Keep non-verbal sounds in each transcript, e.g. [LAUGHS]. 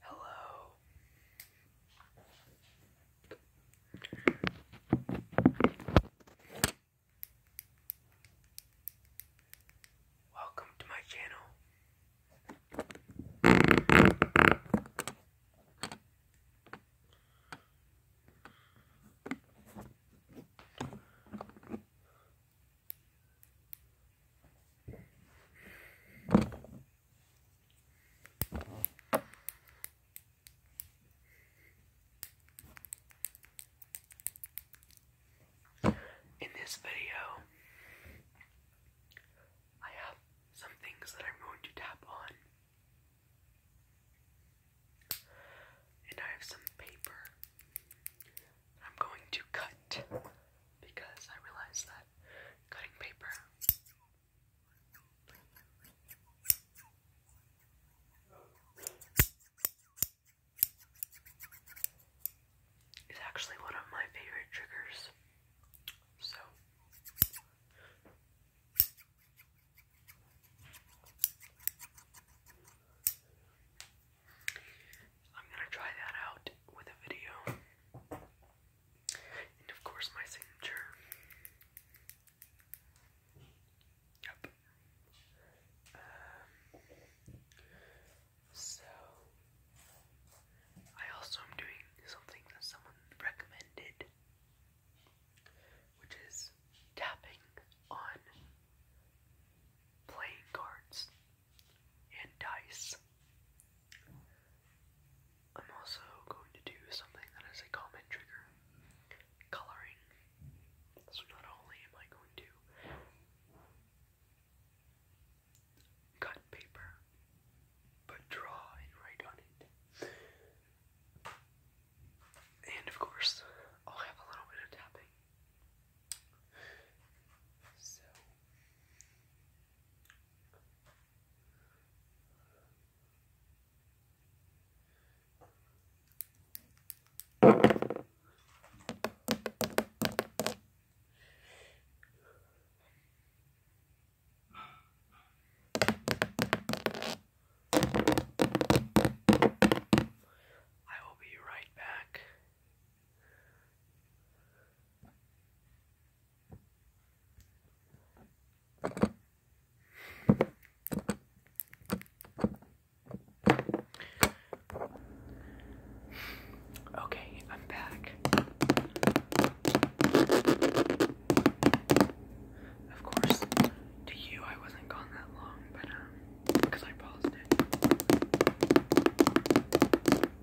Hello. Welcome to my channel. In this video, I have some things that I'm going to tap on. And I have some paper I'm going to cut because I realized that cutting paper is actually one of my favorite triggers. So I'm gonna try that out with a video. And of course, my signature. Yep. Um, so, I also am doing something that someone recommended, which is tapping on playing cards and dice. I'm also going to do something that is a common trigger coloring. So, not only am I going to cut paper, but draw and write on it. And of course, I'll have a little bit of tapping. So, I will be right back. Okay, I'm back. Of course, to you I wasn't gone that long, but um, because I paused it.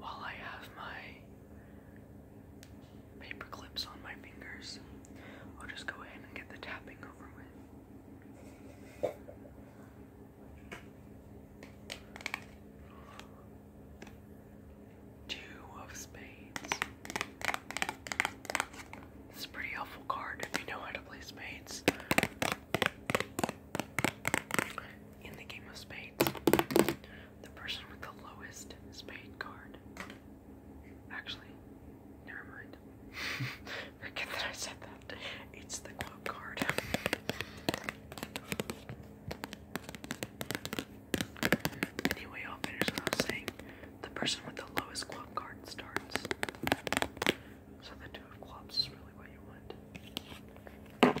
While I have my paper clips on my fingers, I'll just go ahead and get the tapping over with. Two of spades. It's a pretty helpful card if you know how to play spades. In the game of spades, the person with the lowest spade card. Actually, never mind. [LAUGHS] Forget that I said that. It's the club card. Anyway, I'll finish what saying. The person with the lowest club card starts. So the two of clubs is really what you want.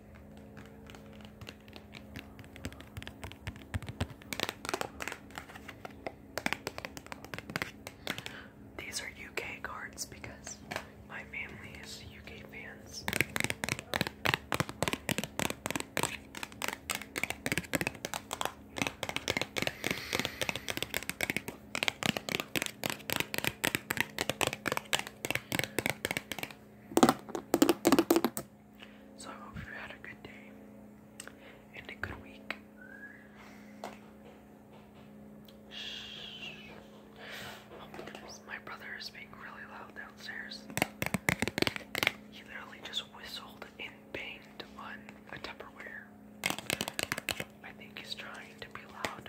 These are UK cards because my family is UK fans. So I hope you had a good day and a good week. my brother is being really loud downstairs. He literally just whistled and banged on a Tupperware. I think he's trying to be loud.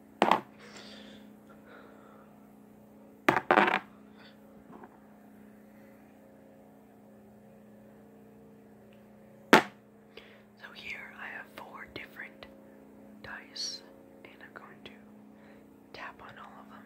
So here I have four different dice, and I'm going to tap on all of them.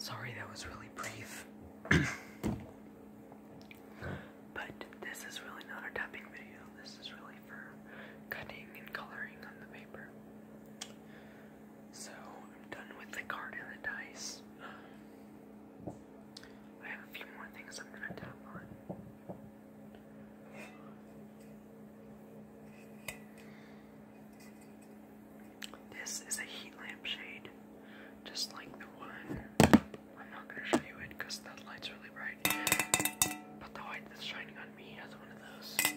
Sorry, that was really brief. But this is really not a tapping video. This is really for cutting and coloring on the paper. So I'm done with the card and the dice. Um, I have a few more things I'm gonna tap on. This is a heat lamp shade just like the one. I'm not gonna show you it because that light's really bright. But the light that's shining on me has one of those.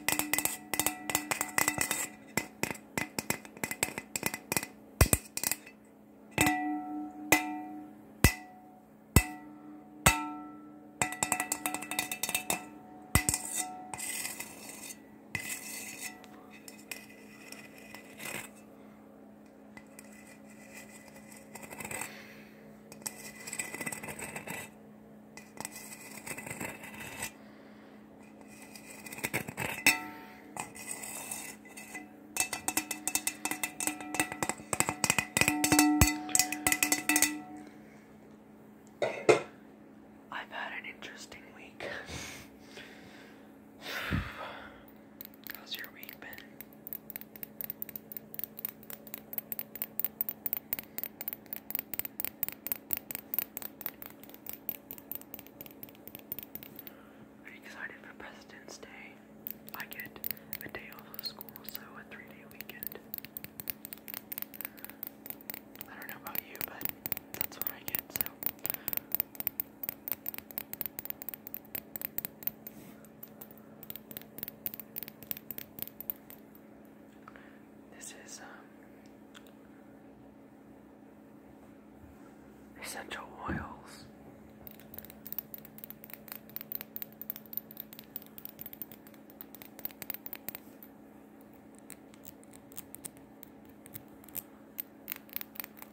I've had an interesting week. How's your week been? Are excited for President's Day? I get a day off of school, so a three day weekend. I don't know about you, but that's what I get, so. This is um, essential oils. [SIGHS]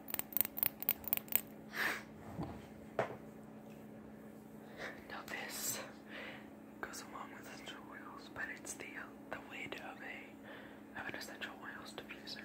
Now this goes along with essential oils, but it's the uh, the lid of a of an essential oils diffuser.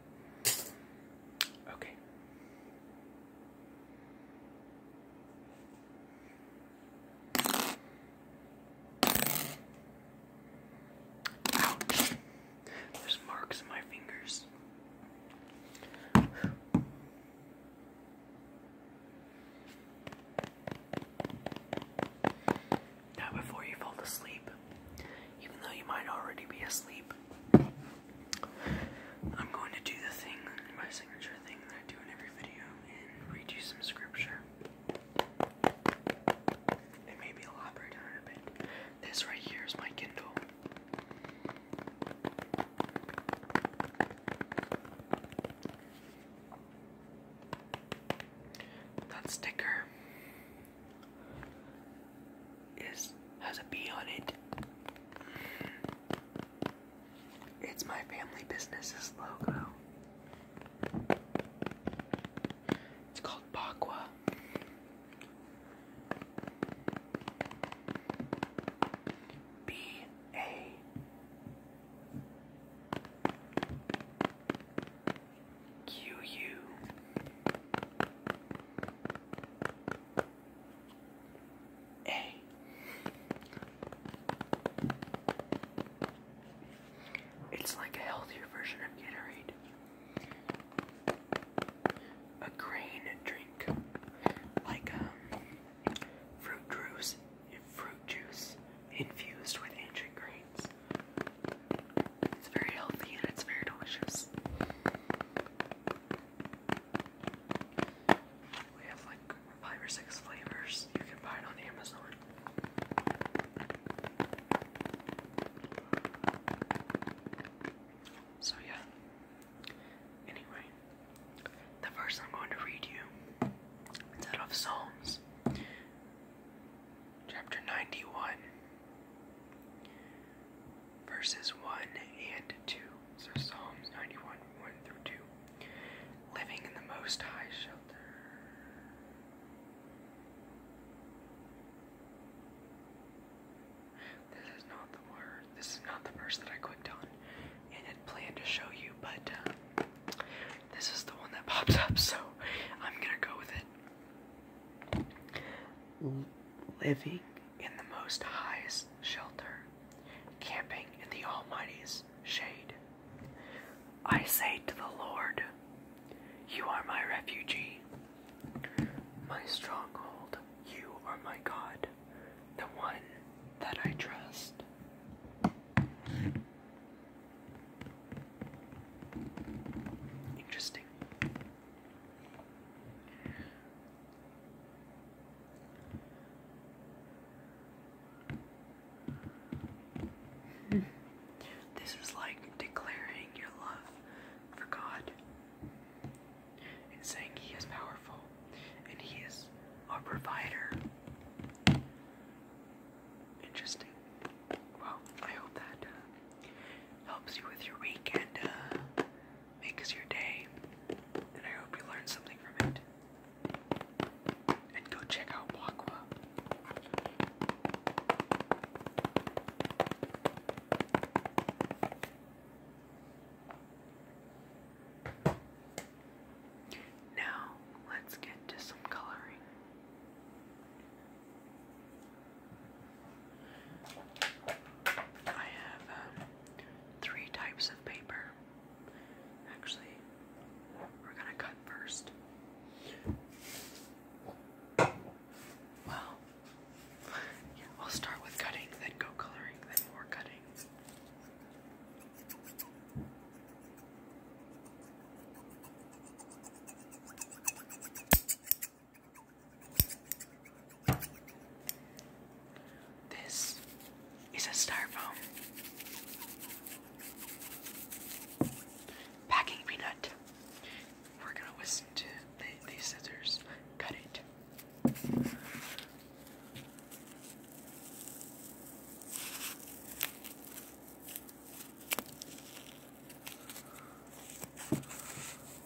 Okay. Ouch. There's marks in my fingers. Now, before you fall asleep, even though you might already be asleep. I'm going to do the thing, my signature thing that I do in every video, and read you some scripture. And maybe elaborate on it a bit. This right here is my Kindle. That sticker is has a B on it. It's my family business's logo. It's called Bakwa. B A. Q U Hey. It's like a healthier version of Gatorade. A grain drink. Like um, fruit juice fruit juice infused with ancient grains. It's very healthy and it's very delicious. We have like five or six flavors. You can buy it on Amazon. So, yeah. Anyway, the verse I'm going to read you is out of Psalms, chapter 91, Verses 1 and 2. So Psalms 91, 1 through 2. Living in the Most High shelter. This is not the word. This is not the verse that I clicked on and had planned to show you, but uh, this is the one that [LAUGHS] pops up, so I'm gonna go with it living in the Most High's shelter, camping in the Almighty's shade. I say to the Lord, You are my refuge, my stronghold, you are my God, the one that I trust. Interesting. [LAUGHS] This was like declaring your love for God and saying He is powerful and He is a provider. Interesting. Well, I hope that uh, helps you with your week and uh, Make makes your day, and I hope you learned something from it. And go check out Wakwa. Now, let's get to some coloring. I have um, three types of paper. Actually, we're gonna cut first. Well, [LAUGHS] yeah, we'll start with cutting, then go coloring, then more cutting. This is a styrofoam packing peanut. We're gonna listen to the, scissors cut it.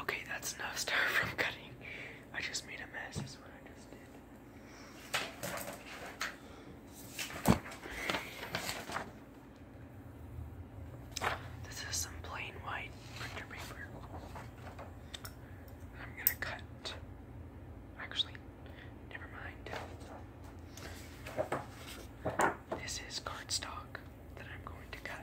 Okay, that's enough [LAUGHS] star from cutting. I just made a mess, This is some plain white printer paper. I'm gonna cut. Actually, never mind. This is cardstock that I'm going to cut.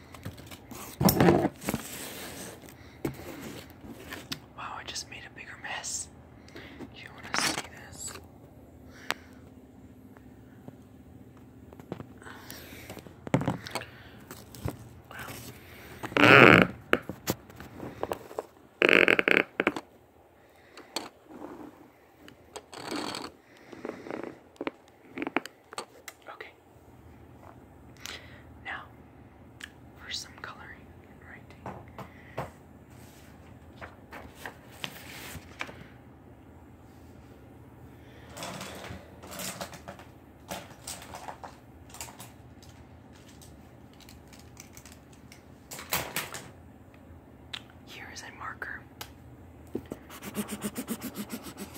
Wow, I just made a bigger mess. You want to see this? Okay, now, for some coloring and writing. Here is a marker.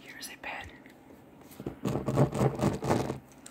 Here's a pen.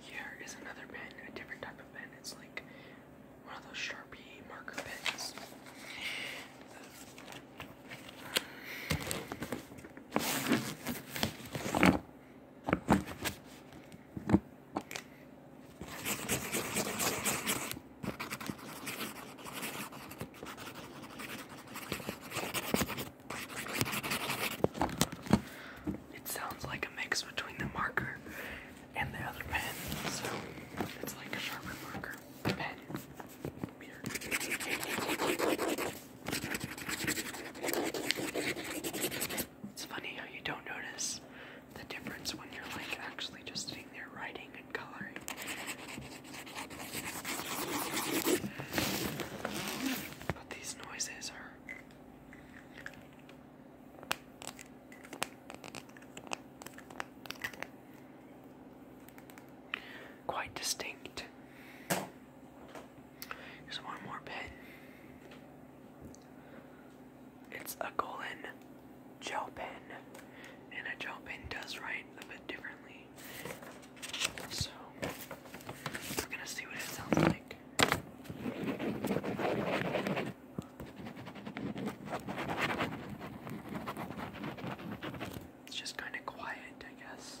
Here is another pen, a different type of pen. It's like one of those Sharpie marker pens it sounds like a mix between the marker and the other pen. So it's like a sharper marker pen. It's funny how you don't notice the difference when you're like actually just sitting there writing and coloring. But these noises are Quite distinct. Here's one more pen. It's a golden gel pen, and a gel pen does write a bit differently. So, we're gonna see what it sounds like. It's just kind of quiet, I guess.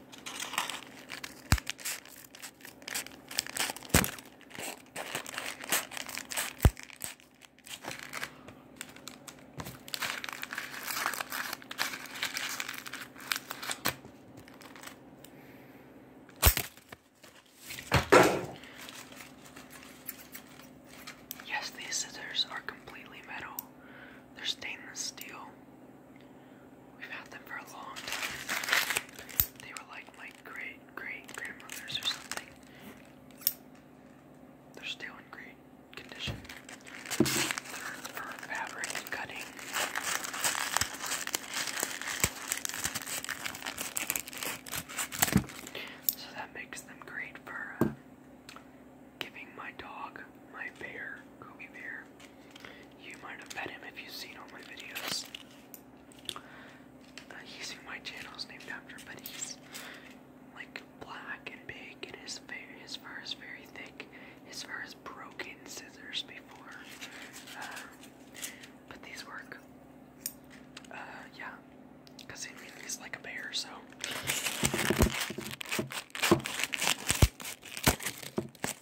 Yes, these scissors are completely metal. They're stainless steel. We've had them for a long time. They were like my great great grandmother's or something. They're still in great condition. They're fabric cutting. So that makes them great for uh, giving my dog, my bear, Kobe Bear, you might have met him if you've seen all my videos. Uh, he's in my channel's named after, but he's like black and big, his fur, is very thick. His fur is broken scissors before, um, but these work. Uh, yeah, because he's like a bear, so.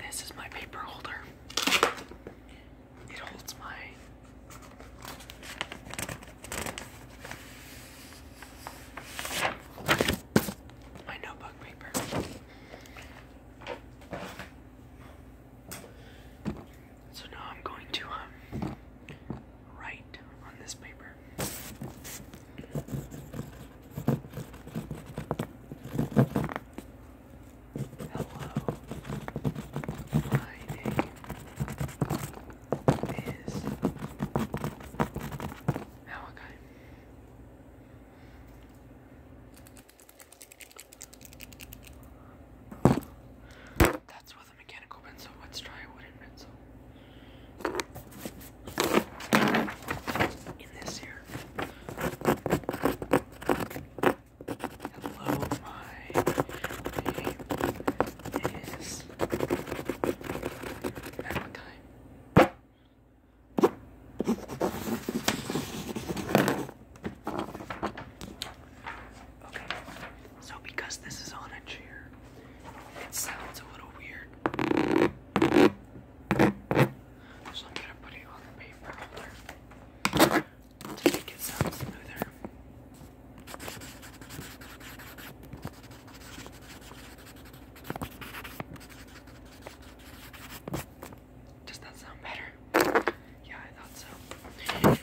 This is my paper holder. It holds my my notebook paper. So now I'm going to um, write on this paper. Hello, my name is Malachi. That's with a mechanical pencil. Let's try a wooden pencil. In this here. Hello, my name is Valentine. Okay, so because this is on a chair, it sounds a little weird. So I'm gonna put it on the paper holder to make it sound smoother. Does that sound better? Yeah, I thought so.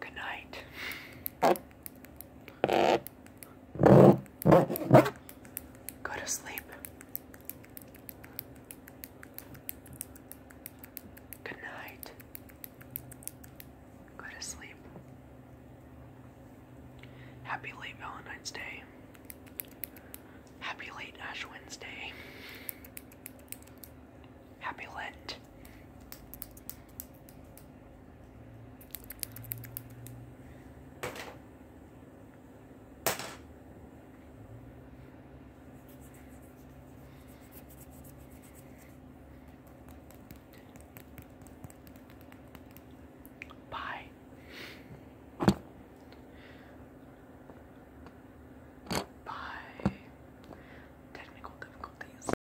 Good night. Go to sleep. Good night. Go to sleep. Happy late Valentine's Day. Happy late Ash Wednesday. Happy Lent. Bye. Bye. Technical difficulties.